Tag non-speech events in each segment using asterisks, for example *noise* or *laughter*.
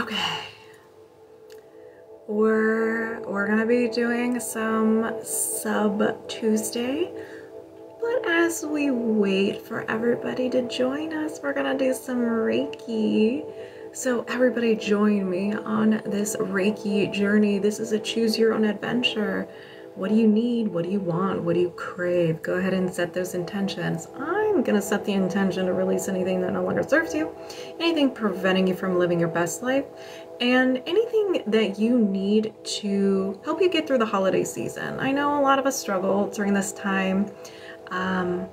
Okay. We're, we're gonna be doing some sub Tuesday, but as we wait for everybody to join us, we're gonna do some Reiki. So everybody join me on this Reiki journey. This is a choose your own adventure. What do you need? What do you want? What do you crave? Go ahead and set those intentions. I'm going to set the intention to release anything that no longer serves you, anything preventing you from living your best life, and anything that you need to help you get through the holiday season. I know a lot of us struggle during this time. Um,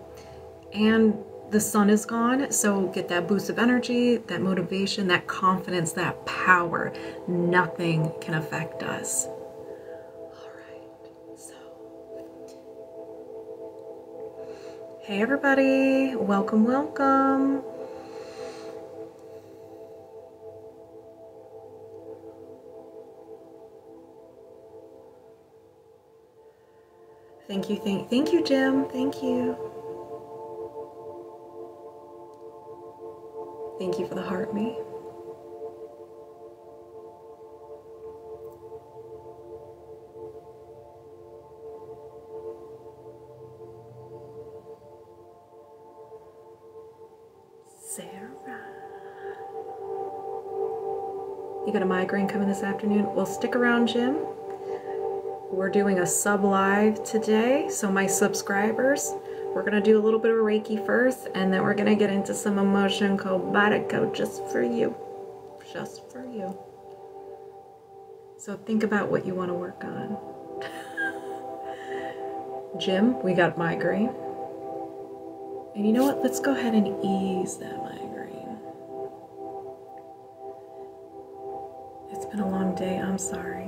and the sun is gone, so get that boost of energy, that motivation, that confidence, that power. Nothing can affect us. Hey everybody, welcome, welcome. Thank you, thank, thank you, Jim. Thank you. Thank you for the heart, me. Sarah. You got a migraine coming this afternoon? Well, stick around, Jim. We're doing a sub live today, so my subscribers, we're going to do a little bit of Reiki first, and then we're going to get into some emotion called just for you. Just for you. So think about what you want to work on. *laughs* Jim, we got migraine. And you know what? Let's go ahead and ease that migraine. It's been a long day. I'm sorry.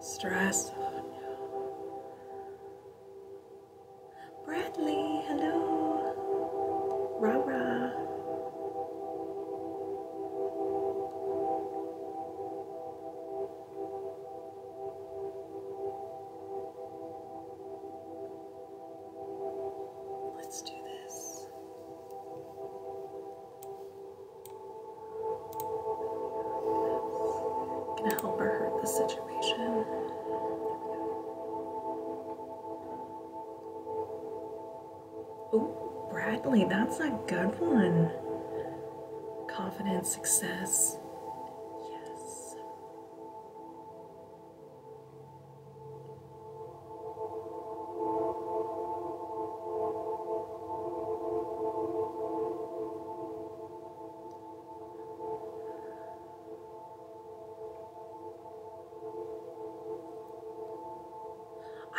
Stress on you. Bradley, hello. Rah rah. Let's do this. Gonna help or hurt the situation. Oh, Bradley, that's a good one. Confidence, success. Yes.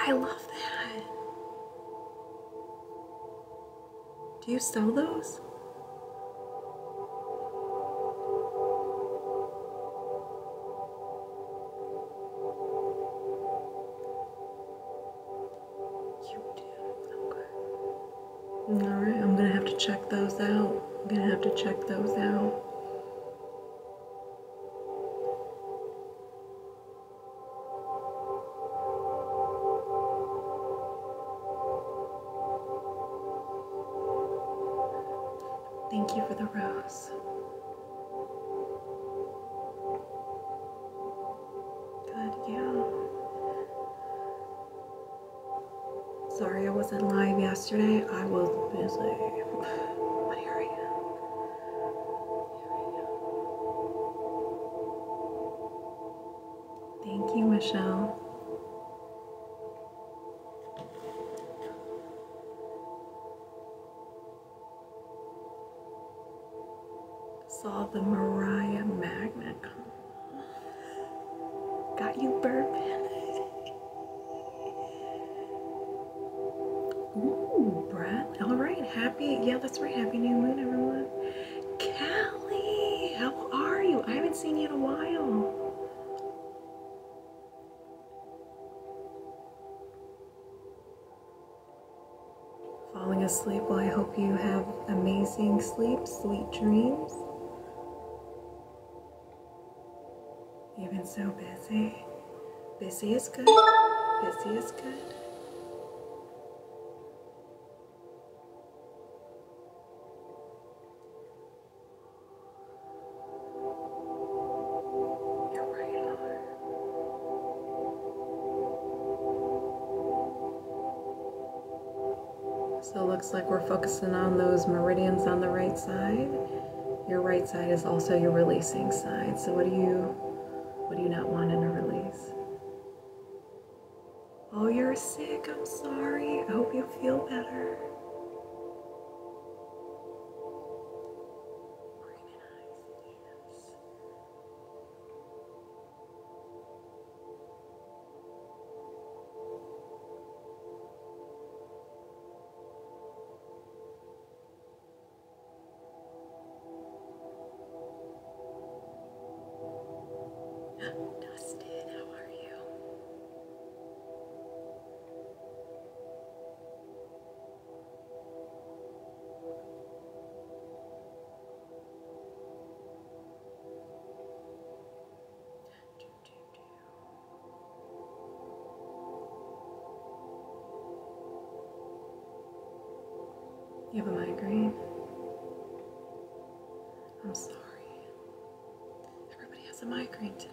I love that. Do you sell those? Alright, I'm gonna have to check those out. I'm gonna have to check those out. Thank you for the rose. Good, yeah. Sorry I wasn't live yesterday. I was busy. *sighs* But here I am. Here I am. Thank you, Michelle. Saw the Mariah Magnet. Got you burping. Ooh, Brett. All right, happy. Yeah, that's right. Happy new moon, everyone. Callie, how are you? I haven't seen you in a while falling asleep. Well, I hope you have amazing sleep, sweet dreams. You've been so busy. Busy is good. Busy is good. You're right, Lord. So it looks like we're focusing on those meridians on the right side. Your right side is also your releasing side. So what do you what do you not want in a release? Oh, you're sick. I'm sorry. I hope you feel better. Dustin, how are you? You have a migraine? I'm sorry. Everybody has a migraine today.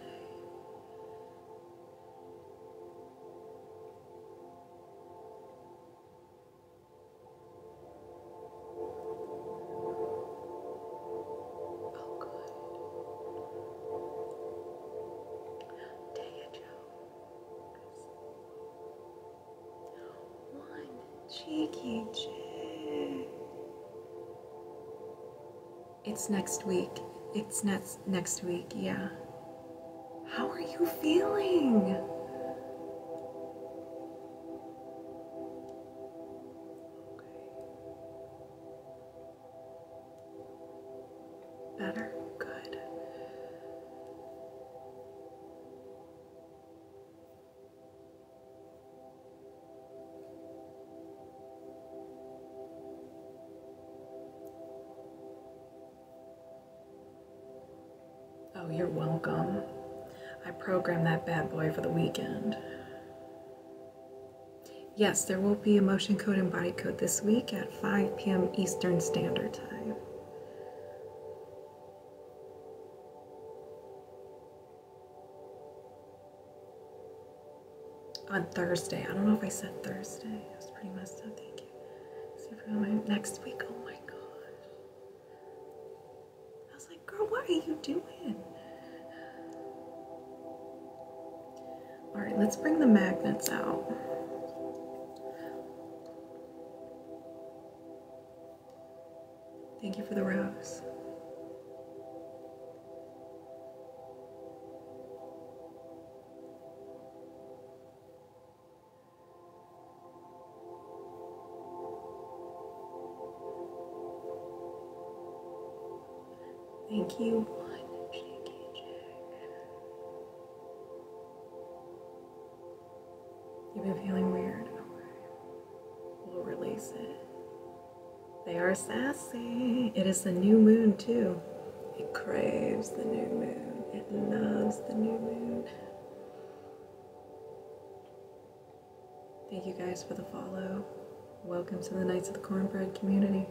Oh, good. Joe. One cheeky chick. It's next week. It's next next week. Yeah. How are you feeling? Better? Good. Oh, you're welcome. I programmed that bad boy for the weekend. Yes, there will be a motion code and body code this week at 5 p.m. Eastern Standard Time. On Thursday. I don't know if I said Thursday. I was pretty messed up. Thank you. Super Bowl next week. Oh my gosh. I was like, girl, what are you doing? Alright, let's bring the magnets out. Thank you for the rose. Thank you, one cheeky You've been feeling weird We'll release it. They are sassy. It is the new moon, too. It craves the new moon. It loves the new moon. Thank you guys for the follow. Welcome to the Knights of the Cornbread community.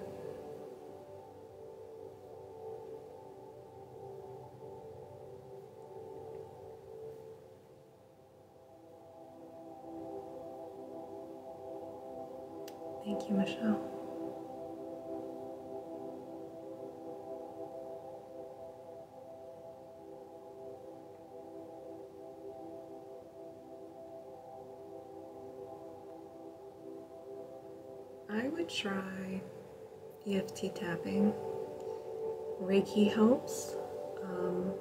Thank you, Michelle. I would try EFT tapping. Reiki helps. Um,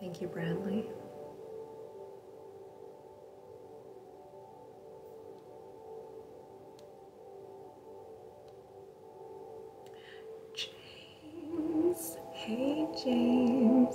thank you, Bradley. James, hey James.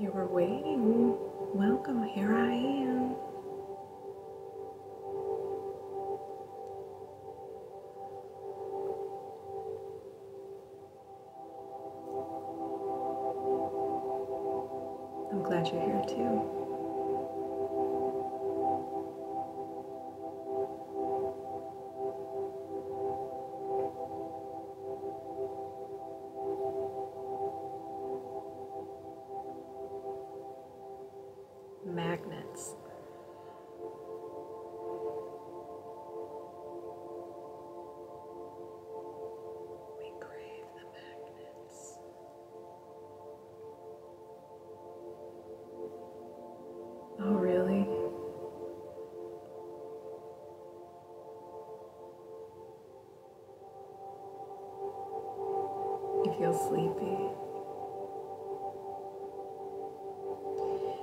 You were waiting. Welcome, here I am. I'm glad you're here too. Magnets. We crave the magnets. Oh, really? You feel sleepy.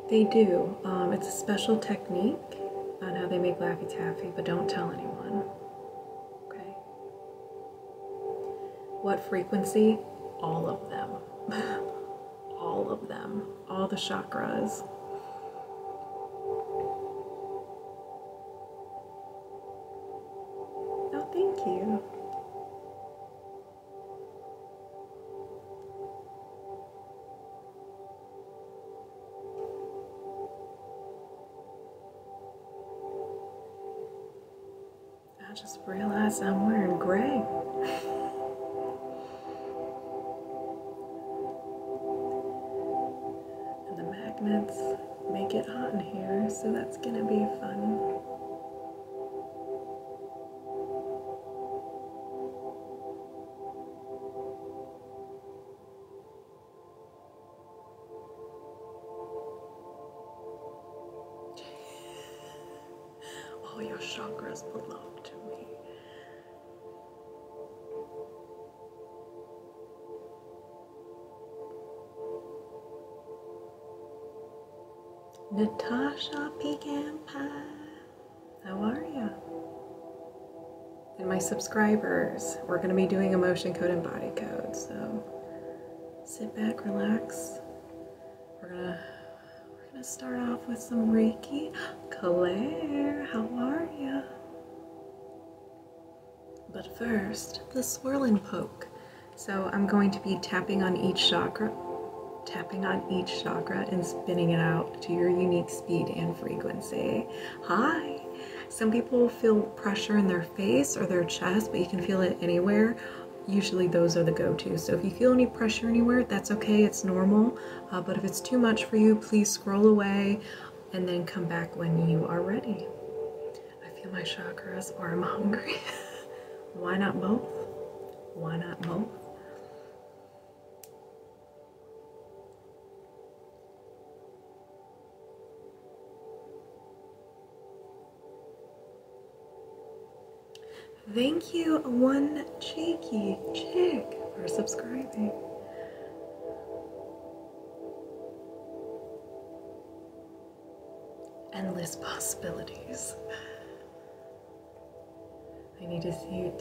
They do. Um, it's a special technique on how they make Laffy Taffy, but don't tell anyone. Okay? What frequency? All of them. *laughs* all of them. All the chakras. Oh, thank you. I just realized I'm wearing gray. *laughs* and the magnets make it hot in here, so that's gonna be fun. All your chakras belong to me. Natasha Pecan Pie, how are you? And my subscribers, we're going to be doing emotion code and body code, so sit back, relax. We're gonna we're gonna start off with some Reiki. Claire, how are you? But first, the swirl and poke. So I'm going to be tapping on each chakra, tapping on each chakra and spinning it out to your unique speed and frequency. Hi, some people feel pressure in their face or their chest, but you can feel it anywhere. Usually those are the go-to. So if you feel any pressure anywhere, that's okay, it's normal. Uh, but if it's too much for you, please scroll away and then come back when you are ready. I feel my chakras or I'm *laughs* hungry. Why not both? Why not both? Thank you, one cheeky chick, for subscribing. Endless possibilities. I need to see you.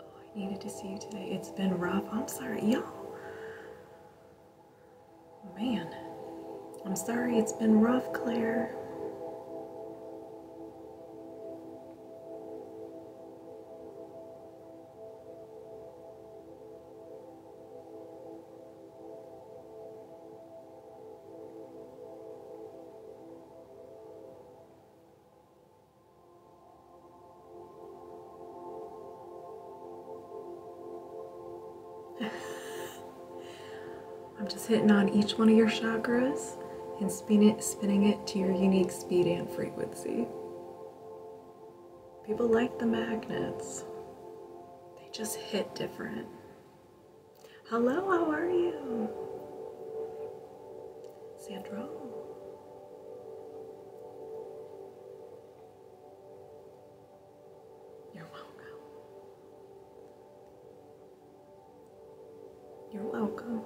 Oh, I needed to see you today. It's been rough. I'm sorry, y'all. Man, I'm sorry it's been rough, Claire. *laughs* I'm just hitting on each one of your chakras and spinning it to your unique speed and frequency. People like the magnets. They just hit different. Hello, how are you? Sandra? You're welcome. You're welcome.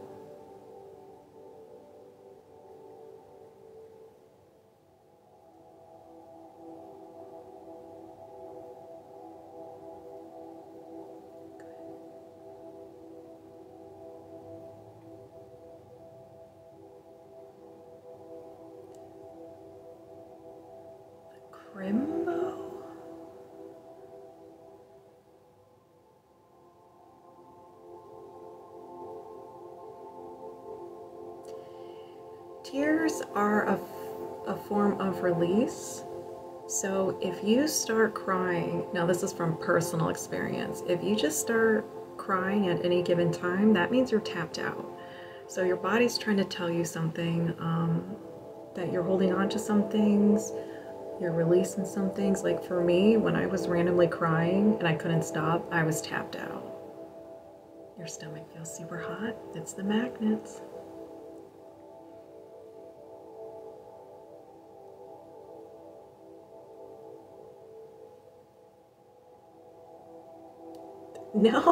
Good. The Crimbo? Tears are a, a form of release. So if you start crying, now this is from personal experience, if you just start crying at any given time, that means you're tapped out. So your body's trying to tell you something um, that you're holding on to some things, you're releasing some things. Like for me, when I was randomly crying and I couldn't stop, I was tapped out. Your stomach feels super hot. It's the magnets. No.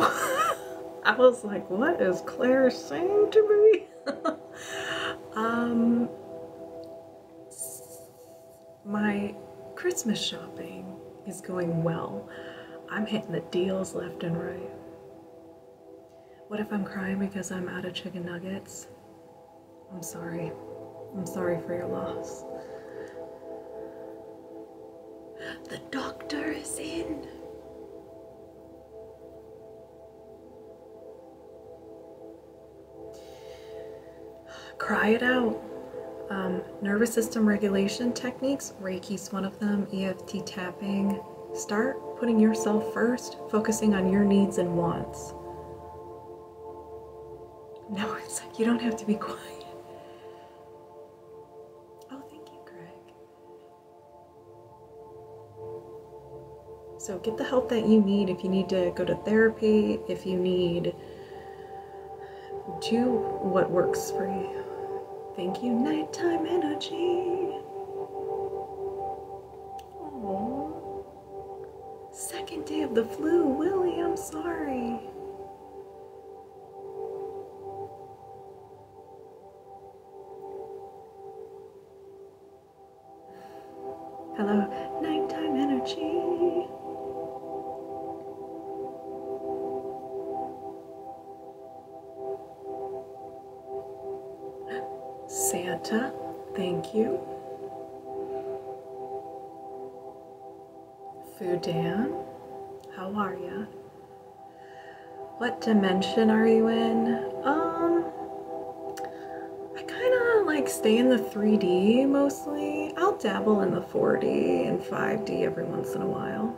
*laughs* I was like, what is Claire saying to me? *laughs* um, my Christmas shopping is going well. I'm hitting the deals left and right. What if I'm crying because I'm out of chicken nuggets? I'm sorry. I'm sorry for your loss. The doctor is in. Cry it out. Um, nervous system regulation techniques, Reiki's one of them, EFT tapping. Start putting yourself first, focusing on your needs and wants. No, it's like you don't have to be quiet. Oh, thank you, Greg. So get the help that you need if you need to go to therapy, if you need do what works for you. Thank you, nighttime energy. Aww. Second day of the flu, Willie, I'm sorry. Hello, nighttime energy. Santa, thank you. Food Dan, how are you? What dimension are you in? Um, I kind of like stay in the 3D mostly. I'll dabble in the 4D and 5D every once in a while.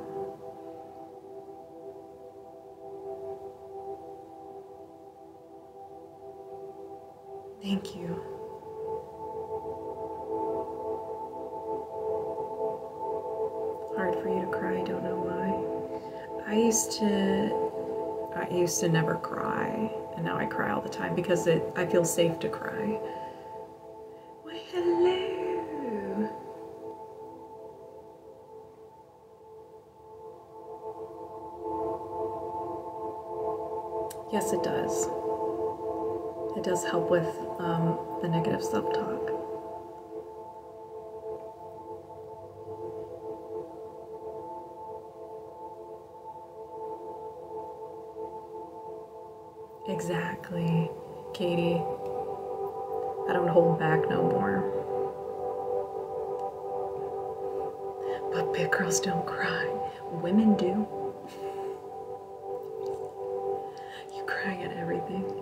Thank you. Hard for you to cry, don't know why. I used to I used to never cry, and now I cry all the time because it I feel safe to cry. hello. Yes, it does. It does help with um, the negative self talk. Exactly, Katie. I don't hold back no more. But big girls don't cry. Women do. *laughs* You cry at everything.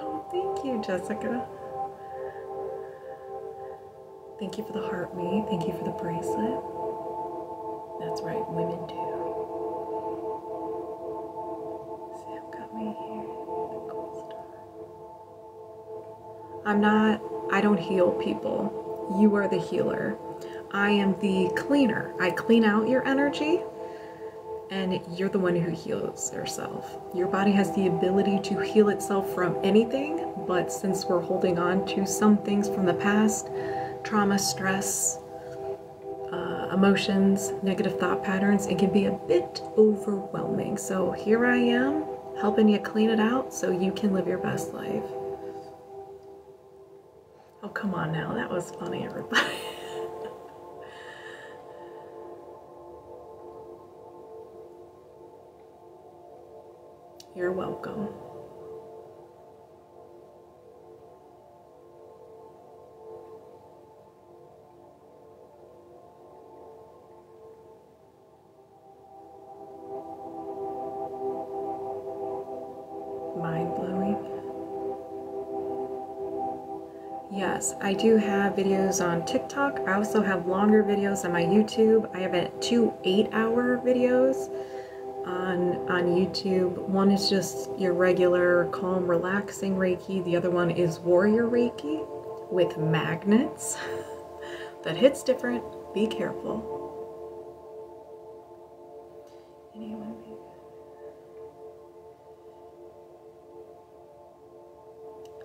Oh, thank you, Jessica. Thank you for the heart me. Thank you for the bracelet. That's right, women do. Sam got me here. I'm not, I don't heal people. You are the healer. I am the cleaner. I clean out your energy and you're the one who heals yourself. Your body has the ability to heal itself from anything, but since we're holding on to some things from the past trauma, stress, uh, emotions, negative thought patterns it can be a bit overwhelming. So here I am helping you clean it out so you can live your best life. Oh, come on now, that was funny, everybody. *laughs* You're welcome. Mind blowing. Yes, I do have videos on TikTok. I also have longer videos on my YouTube. I have two eight-hour videos on, on YouTube. One is just your regular calm, relaxing Reiki. The other one is Warrior Reiki with magnets. *laughs* that hits different. Be careful.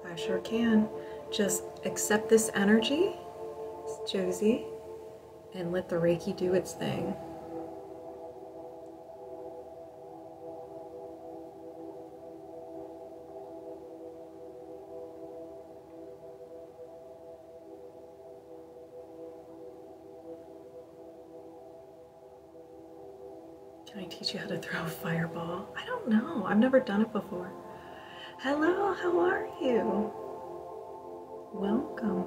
I sure can. Just accept this energy, it's Josie, and let the Reiki do its thing. Can I teach you how to throw a fireball? I don't know. I've never done it before. Hello, how are you? Welcome.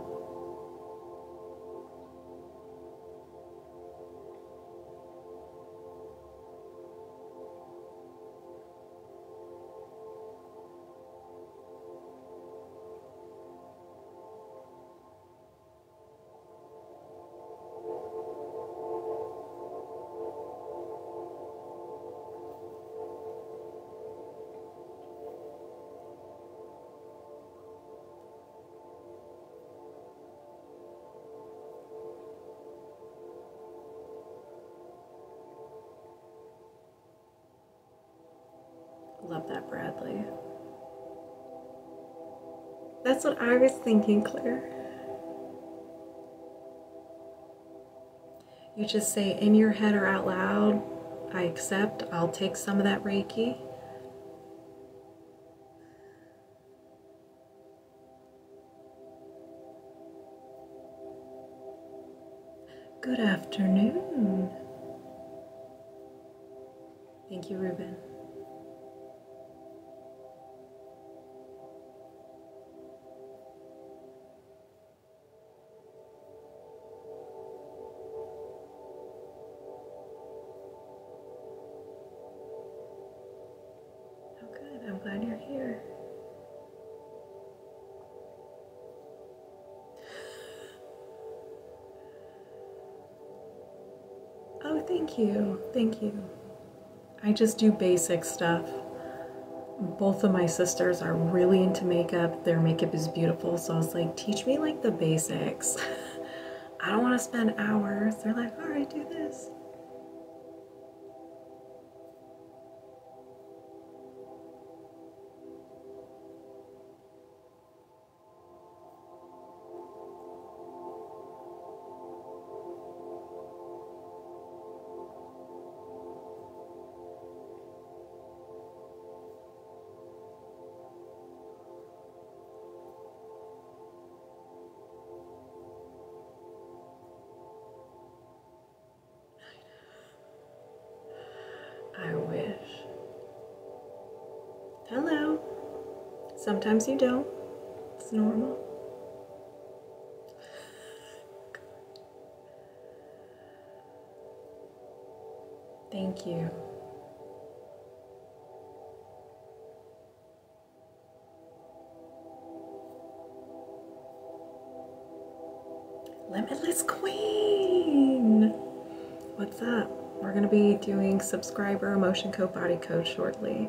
Love that, Bradley. That's what I was thinking, Claire. You just say in your head or out loud, I accept, I'll take some of that Reiki. Good afternoon. Thank you, Ruben. Oh, good. I'm glad you're here. Oh, thank you. Thank you. I just do basic stuff. Both of my sisters are really into makeup. Their makeup is beautiful. So I was like, teach me like the basics. *laughs* I don't want to spend hours. They're like, all right, do this. I wish Hello. Sometimes you don't. It's normal. Thank you. Limitless Queen! What's up? We're going to be doing subscriber emotion code body code shortly.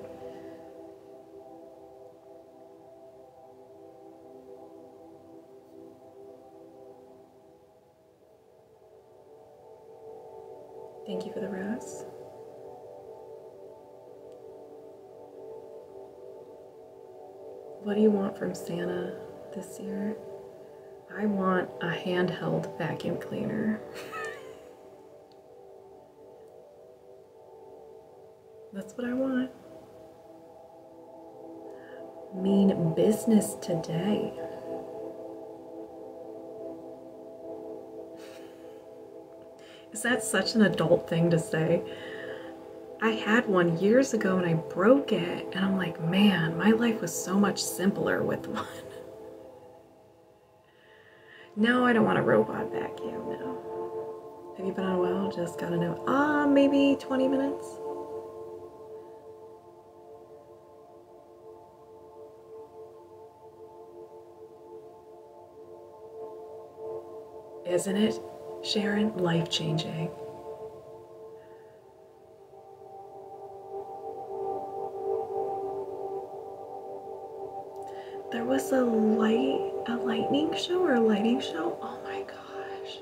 Thank you for the rose. What do you want from Santa this year? I want a handheld vacuum cleaner. *laughs* That's what I want. Mean business today. Is that such an adult thing to say? I had one years ago and I broke it, and I'm like, man, my life was so much simpler with one. No, I don't want a robot vacuum, no. Have you been on a while? Just gotta know. Ah, maybe 20 minutes? Isn't it, Sharon? Life changing. There was a light, a lightning show or a lighting show. Oh my gosh.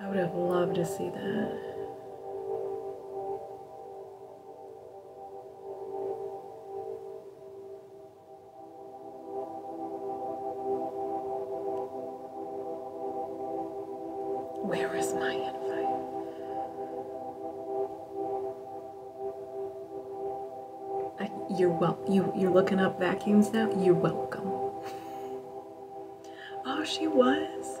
I would have loved to see that. Where is my invite? you're well. You you're looking up vacuums now. You're welcome. oh, she was.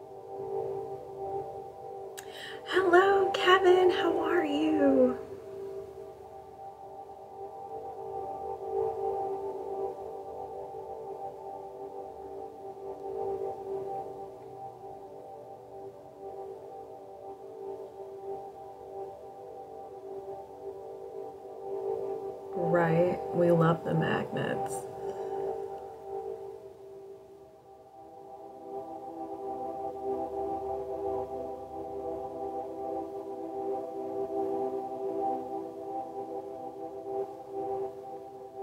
Hello, Kevin. How are you? Right, we love the magnets.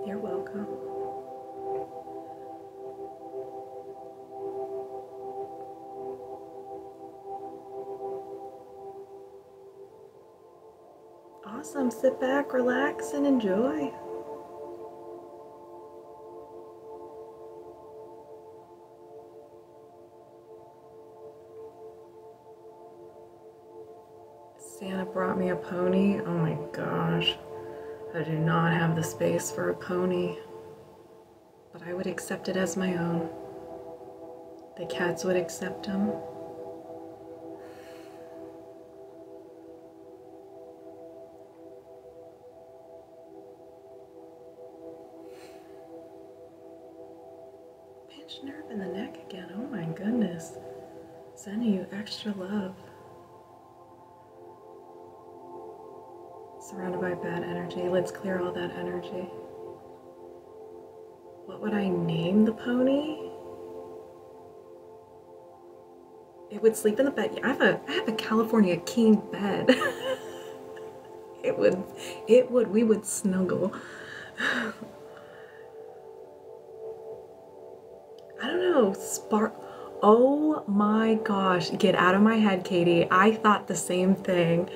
You're welcome. Awesome. Sit back, relax, and enjoy. Santa brought me a pony. Oh my gosh. I do not have the space for a pony. But I would accept it as my own. The cats would accept him. Pinched nerve in the neck again. Oh my goodness. Sending you extra love. Surrounded by bad energy. Let's clear all that energy. What would I name the pony? It would sleep in the bed. Yeah, I have have a California king bed. *laughs* it would it would we would snuggle. *sighs* I don't know, spark Oh my gosh, get out of my head, Katie. I thought the same thing.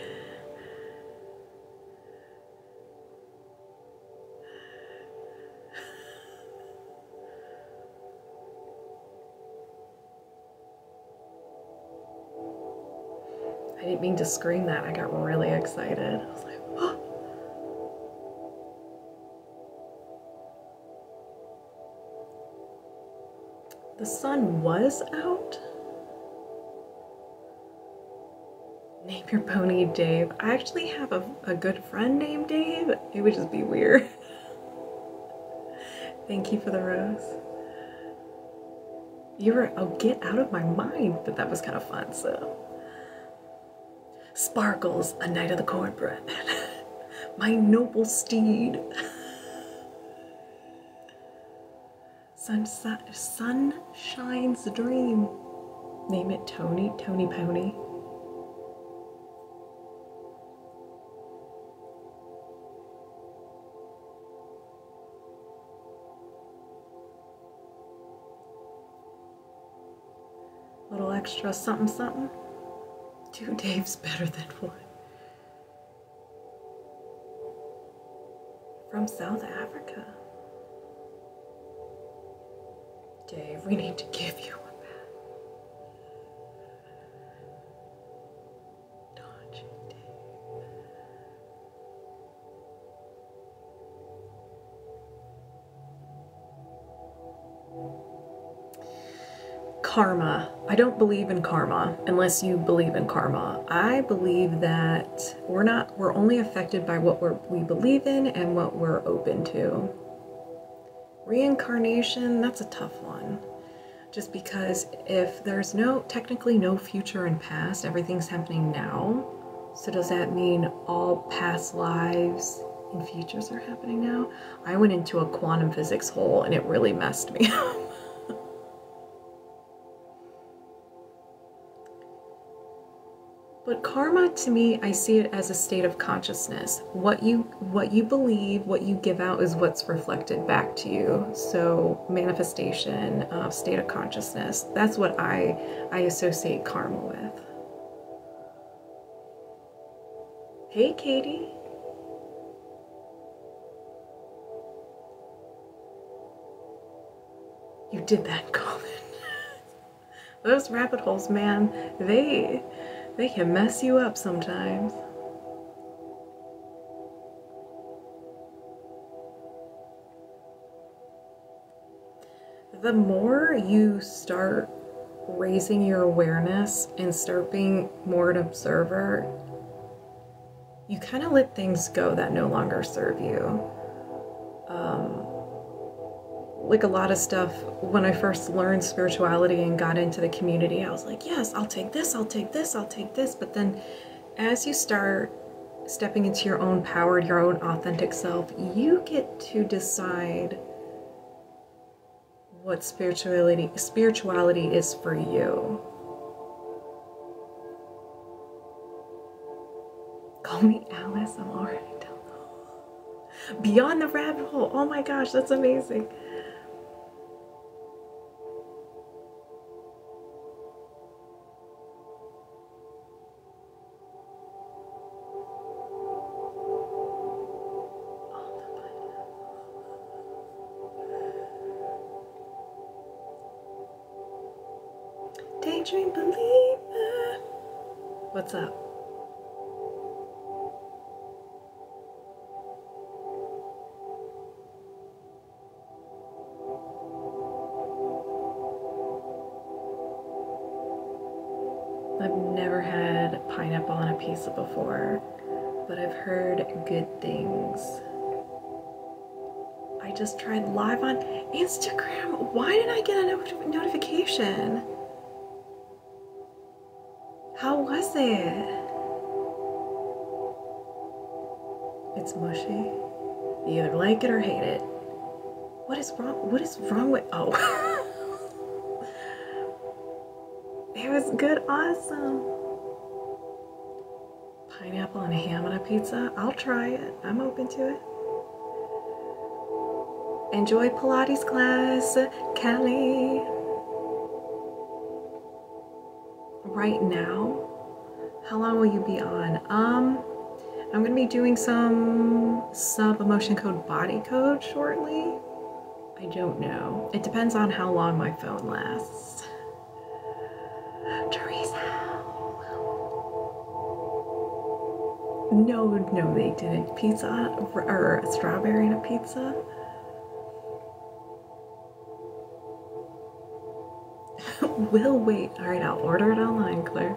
I didn't mean to scream that. I got really excited. The sun was out? Name your pony Dave. I actually have a good friend named Dave. It would just be weird. *laughs* Thank you for the rose. You were, oh, get out of my mind, but that was kind of fun, so. Sparkles, a knight of the cornbread. *laughs* my noble steed. sunset, Sun, shines a dream. Name it Tony, Tony Pony little extra something something. Two *laughs* Dave's better than one. From South Africa. Dave, we need to give you a bath. Karma. I don't believe in karma unless you believe in karma. I believe that we're not we're only affected by what we we believe in and what we're open to. Reincarnation, that's a tough one. Just because if there's no, technically no future and past, everything's happening now. So does that mean all past lives and futures are happening now? I went into a quantum physics hole and it really messed me *laughs* up. But karma to me, I see it as a state of consciousness. What you what you believe, what you give out is what's reflected back to you. So manifestation, uh, state of consciousness, that's what I, I associate karma with. Hey, Katie. You did that, *laughs* Colin. Those rabbit holes, man, they they can mess you up sometimes. The more you start raising your awareness and start being more an observer, you kind of let things go that no longer serve you. Um, like a lot of stuff when I first learned spirituality and got into the community, I was like, yes, I'll take this, I'll take this, I'll take this. But then as you start stepping into your own power, your own authentic self, you get to decide what spirituality spirituality is for you. Call me Alice, I'm already done. Beyond the rabbit hole. Oh my gosh, that's amazing. Daydream believer. What's up? I've never had pineapple on a pizza before, but I've heard good things. I just tried live on Instagram. Why did I get a notification? How was it? It's mushy. You either like it or hate it. What is wrong? What is wrong with? Oh. *laughs* it was good, awesome. Pineapple and ham on a pizza. I'll try it. I'm open to it. Enjoy Pilates class. Kelly. Right now, how long will you be on? Um, I'm gonna be doing some sub emotion code body code shortly. I don't know. It depends on how long my phone lasts. Teresa. No, no, they didn't. Pizza or, or strawberry and a pizza. *laughs* we'll wait. All right, I'll order it online, Claire.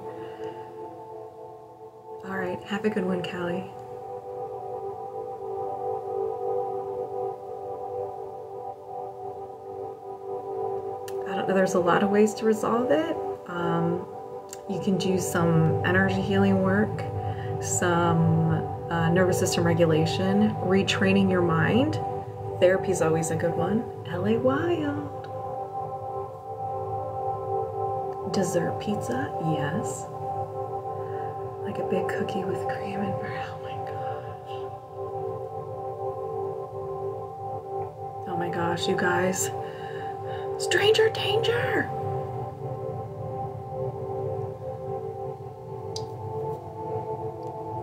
All right, have a good one, Callie. I don't know, there's a lot of ways to resolve it. Um, you can do some energy healing work, some uh, nervous system regulation, retraining your mind. Therapy is always a good one. LA Wild. Dessert pizza, yes. Like a big cookie with cream and brown. Oh, oh my gosh, you guys. Stranger danger!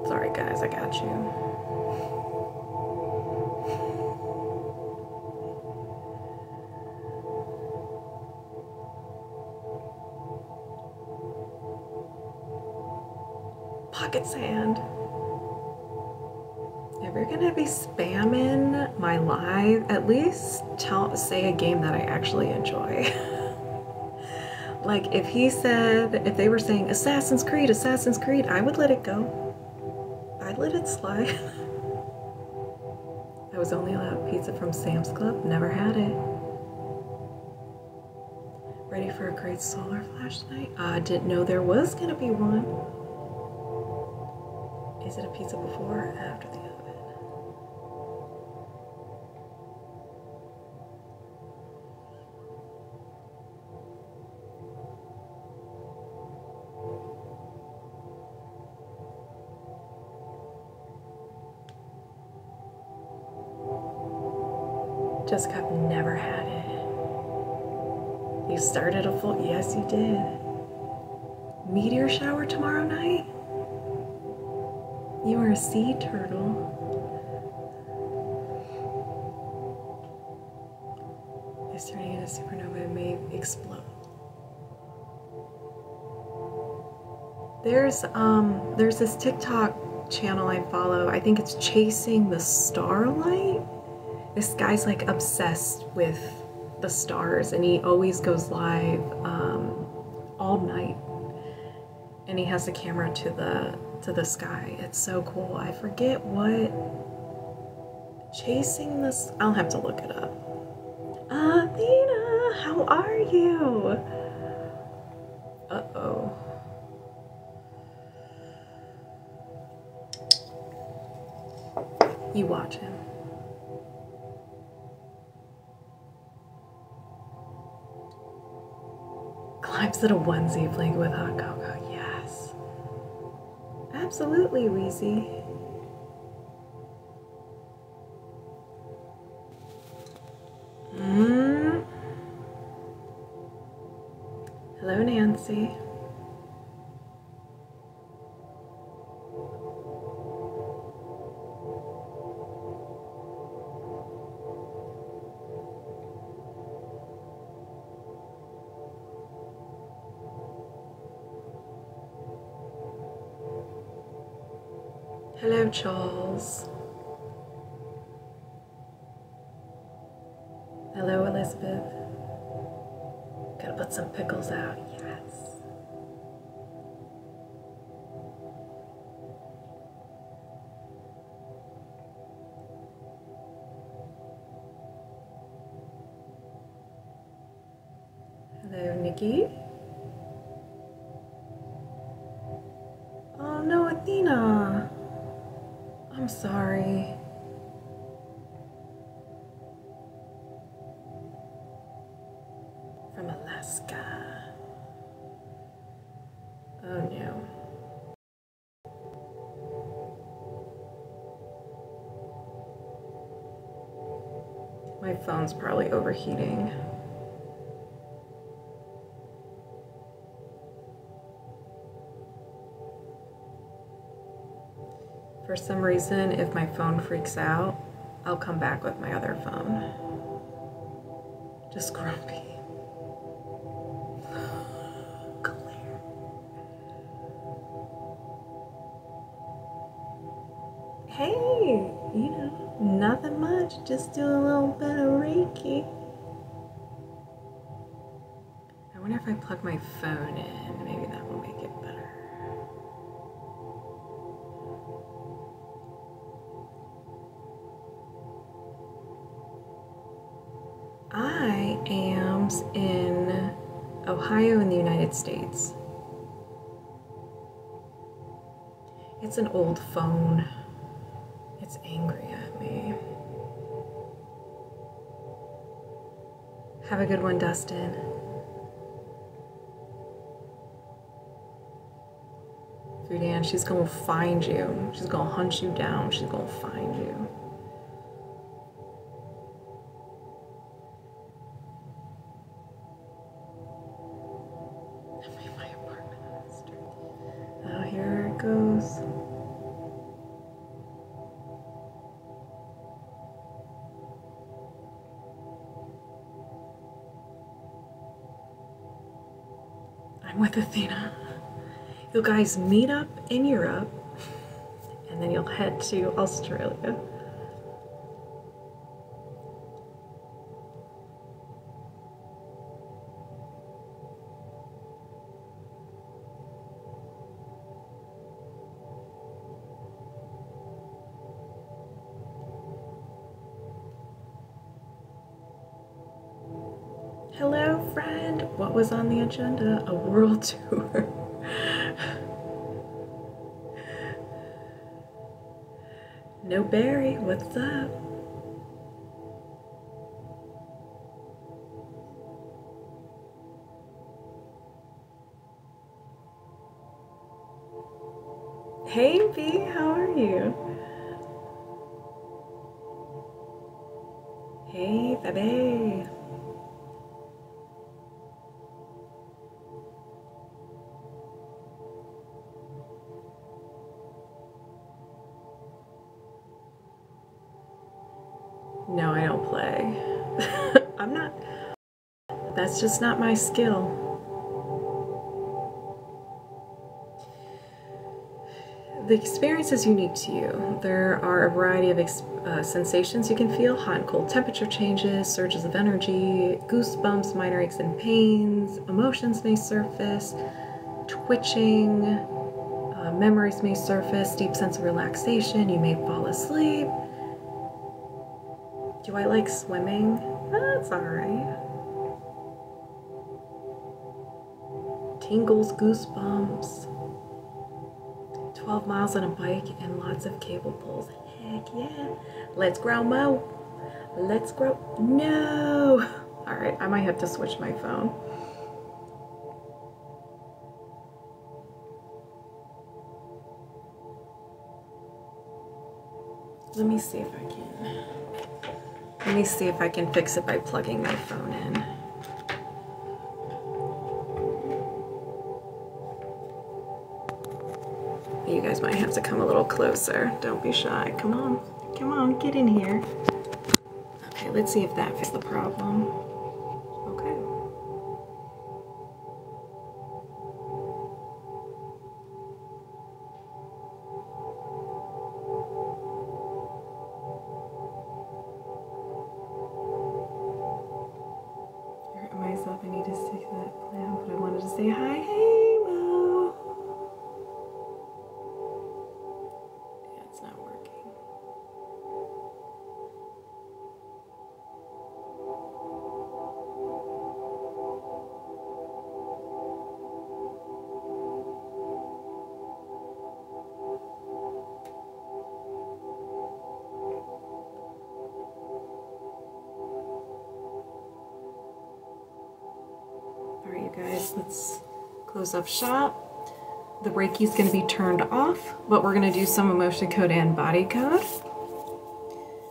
Sorry, guys, I got you. Pocket sand. Ever gonna be spamming my live, at least tell say a game that I actually enjoy. *laughs* like if he said if they were saying Assassin's Creed, Assassin's Creed, I would let it go. I'd let it slide. *laughs* I was only allowed pizza from Sam's Club, never had it. Ready for a great solar flash tonight? I didn't know there was gonna be one. Is it a pizza before or after the oven? Jessica, i never had it. You started a full, yes, you did meteor shower tomorrow night? You are a sea turtle. Is turning into supernova and may explode. There's um there's this TikTok channel I follow. I think it's Chasing the Starlight. This guy's like obsessed with the stars and he always goes live um, all night and he has the camera to the to the sky it's so cool i forget what chasing this i'll have to look it up athena how are you uh-oh you watch him Climbs in a onesie playing with hot cocoa. Yes. Absolutely, Wheezy. Mm. Mm-hmm. Hello, Nancy. Hello, Charles. Hello, Elizabeth. Gotta put some pickles out, yes. Hello, Nikki. Oh no, Athena. I'm sorry. From Alaska. Oh no. My phone's probably overheating. For some reason, if my phone freaks out, I'll come back with my other phone. Just grumpy. *sighs* Hey, you know, nothing much. Just doing a little bit of Reiki. I wonder if I plug my phone in. Maybe that will make it better. I am in Ohio in the United States. It's an old phone. It's angry at me. Have a good one, Dustin. Fudan, she's gonna find you. She's gonna hunt you down. She's gonna find you. Oh, oh, here it goes. I'm with Athena. You guys meet up in Europe and then you'll head to Australia. Hello, friend. What was on the agenda? A world *laughs* tour. no Barry, what's up? Hey B, how are you? Hey baby. No, I don't play. *laughs* I'm not that's just not my skill. The experience is unique to you. There are a variety of uh, sensations you can feel hot and cold temperature changes, surges of energy, goosebumps, minor aches and pains, emotions may surface, twitching, uh, memories may surface, deep sense of relaxation, you may fall asleep. Do I like swimming? That's alright. Tingles, goosebumps. 12 miles on a bike and lots of cable pulls. Heck yeah. Let's grow, Mo. Let's grow. No. *laughs* All right, I might have to switch my phone. Let me see if I can. Let me see if I can fix it by plugging my phone in. You guys might have to come a little closer. Don't be shy. Come on. Come on, get in here. Okay, let's see if that fixes the problem. Okay. I hurt myself. I need to stick that clam, but I wanted to say hi, Halo. Yeah, it's not working. Alright, you guys, let's close up shop. The Reiki is going to be turned off, but we're going to do some emotion code and body code.